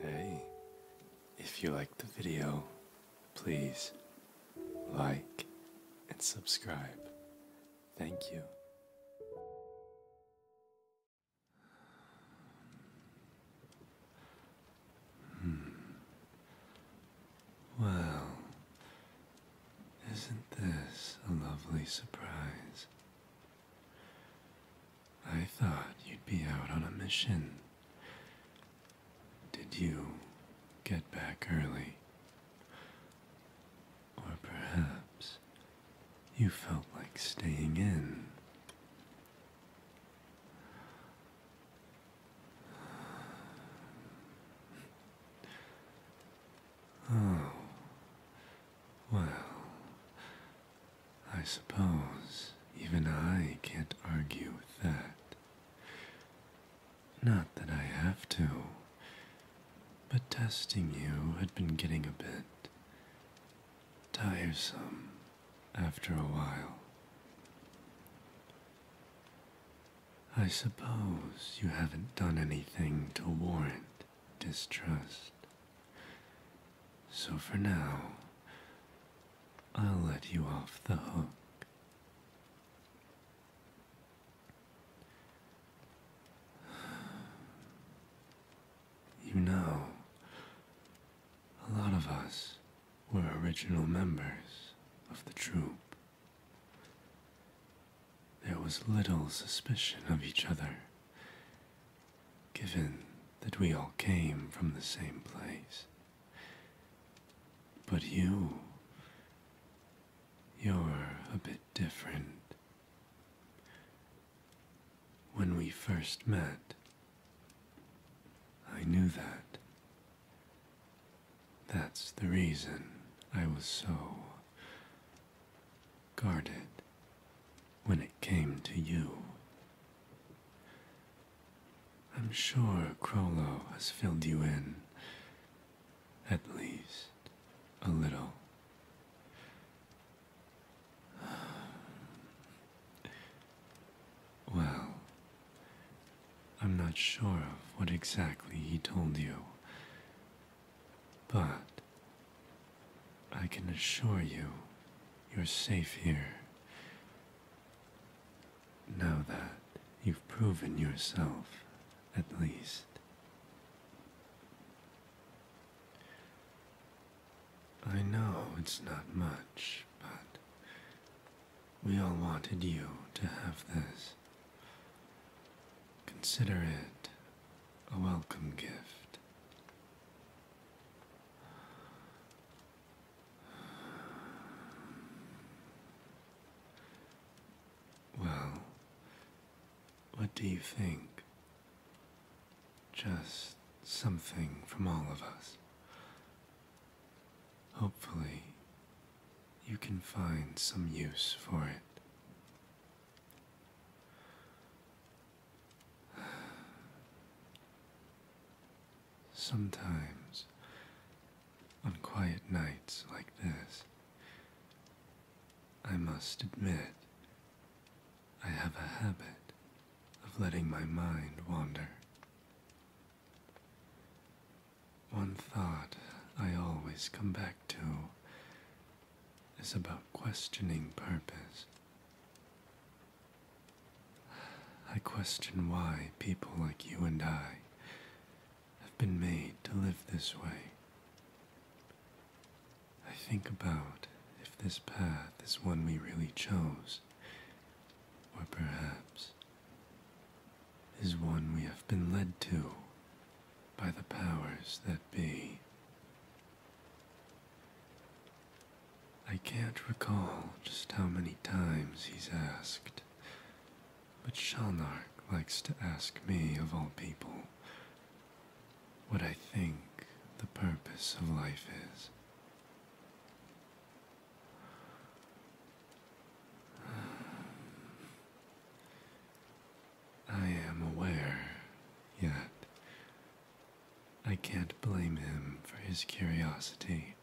Hey, if you liked the video, please like and subscribe. Thank you. Hmm. Well, isn't this a lovely surprise? I thought you'd be out on a mission. Did you get back early? Or perhaps you felt like staying in. Oh, well, I suppose even I can't argue with that. Not that I have to, but testing you had been getting a bit tiresome after a while. I suppose you haven't done anything to warrant distrust. So for now, I'll let you off the hook. You know, a lot of us were original members of the troupe there was little suspicion of each other, given that we all came from the same place. But you, you're a bit different. When we first met, I knew that. That's the reason I was so guarded when it came to you. I'm sure Krollo has filled you in, at least a little. Well, I'm not sure of what exactly he told you, but I can assure you you're safe here. Now that you've proven yourself, at least. I know it's not much, but we all wanted you to have this. Consider it a welcome gift. Well, what do you think? Just something from all of us. Hopefully, you can find some use for it. Sometimes, on quiet nights like this, I must admit I have a habit of letting my mind wander. One thought I always come back to is about questioning purpose. I question why people like you and I have been made to live this way. I think about if this path is one we really chose, or perhaps is one we have been led to by the powers that be. I can't recall just how many times he's asked, but Shalnark likes to ask me, of all people, what I think the purpose of life is. I am aware, yet I can't blame him for his curiosity.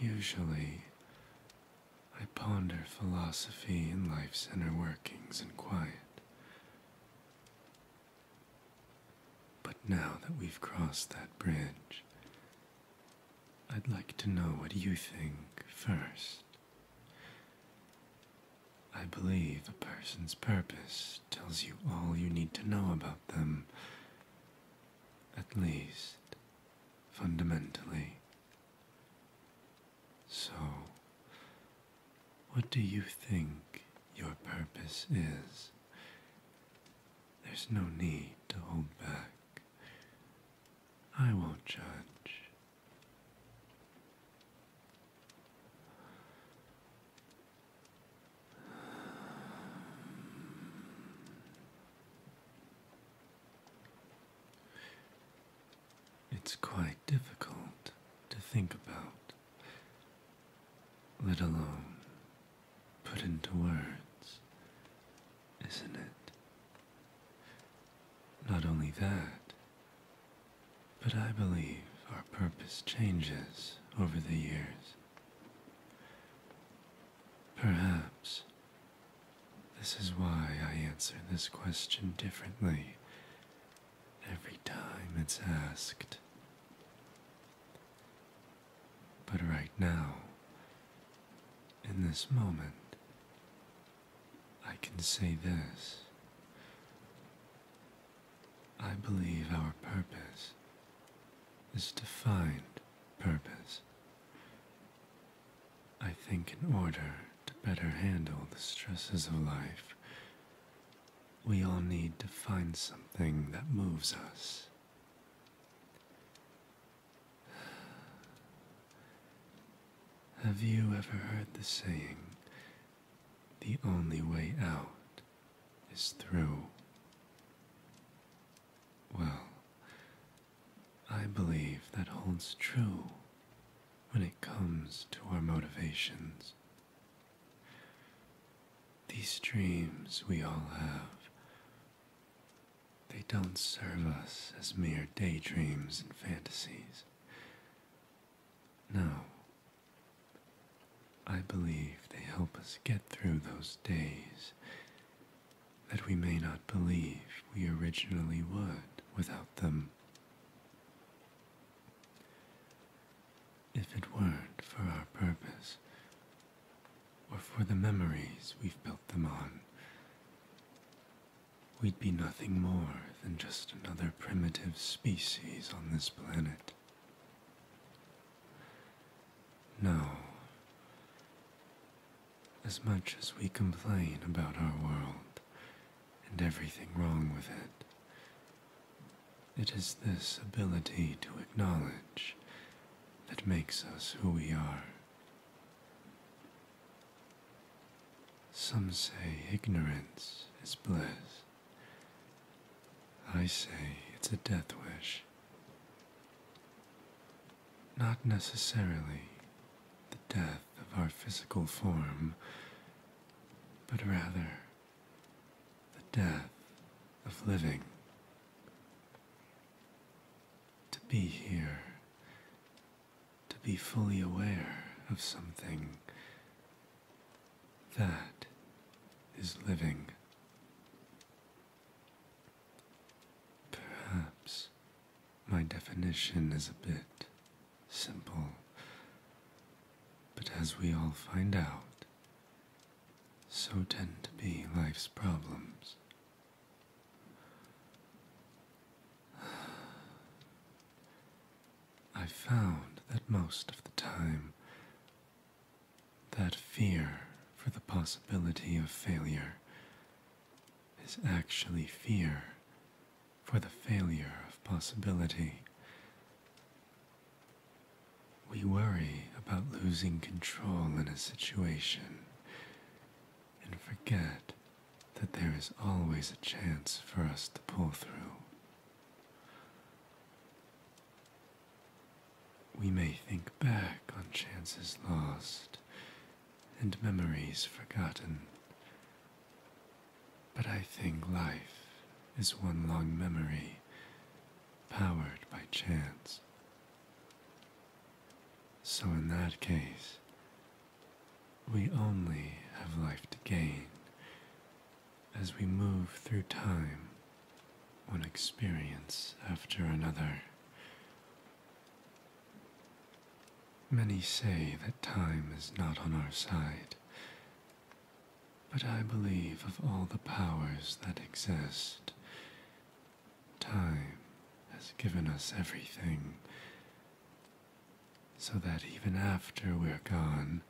Usually, I ponder philosophy and life's inner workings in quiet. But now that we've crossed that bridge, I'd like to know what you think first. I believe a person's purpose tells you all you need to know about them, at least fundamentally. So, what do you think your purpose is? There's no need to hold back. I won't judge. It's quite difficult to think about, let alone put into words, isn't it? Not only that, but I believe our purpose changes over the years. Perhaps this is why I answer this question differently every time it's asked. But right now, in this moment, I can say this. I believe our purpose is to find purpose. I think in order to better handle the stresses of life, we all need to find something that moves us. Have you ever heard the saying, the only way out is through? Well, I believe that holds true when it comes to our motivations these dreams we all have, they don't serve us as mere daydreams and fantasies. No. I believe they help us get through those days that we may not believe we originally would without them if it weren't for our purpose, or for the memories we've built them on, we'd be nothing more than just another primitive species on this planet. No. As much as we complain about our world, and everything wrong with it. It is this ability to acknowledge that makes us who we are. Some say ignorance is bliss. I say it's a death wish. Not necessarily the death of our physical form, but rather the death of living. To be here, to be fully aware of something, that is living. Perhaps my definition is a bit simple. But as we all find out, so tend to be life's problems. I found that most of the time, that fear for the possibility of failure is actually fear for the failure of possibility. We worry about losing control in a situation and forget that there is always a chance for us to pull through. We may think back on chances lost and memories forgotten, but I think life is one long memory powered by chance. So, in that case, we only have life to gain as we move through time, one experience after another, Many say that time is not on our side, but I believe of all the powers that exist, time has given us everything, so that even after we're gone,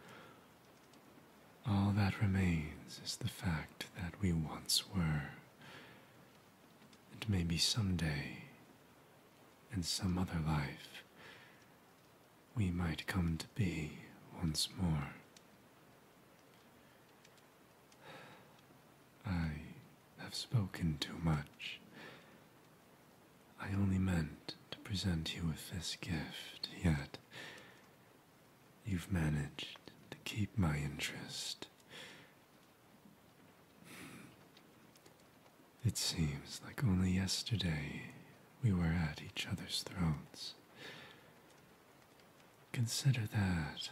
all that remains is the fact that we once were, and maybe someday in some other life, we might come to be once more. I have spoken too much. I only meant to present you with this gift, yet you've managed to keep my interest it seems like only yesterday we were at each other's throats. Consider that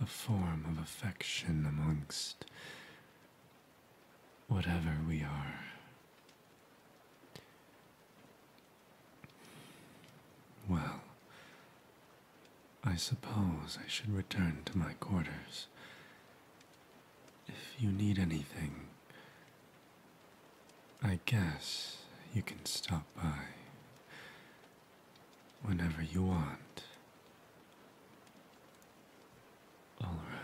a form of affection amongst whatever we are. Well, I suppose I should return to my quarters. If you need anything, I guess you can stop by whenever you want. All right.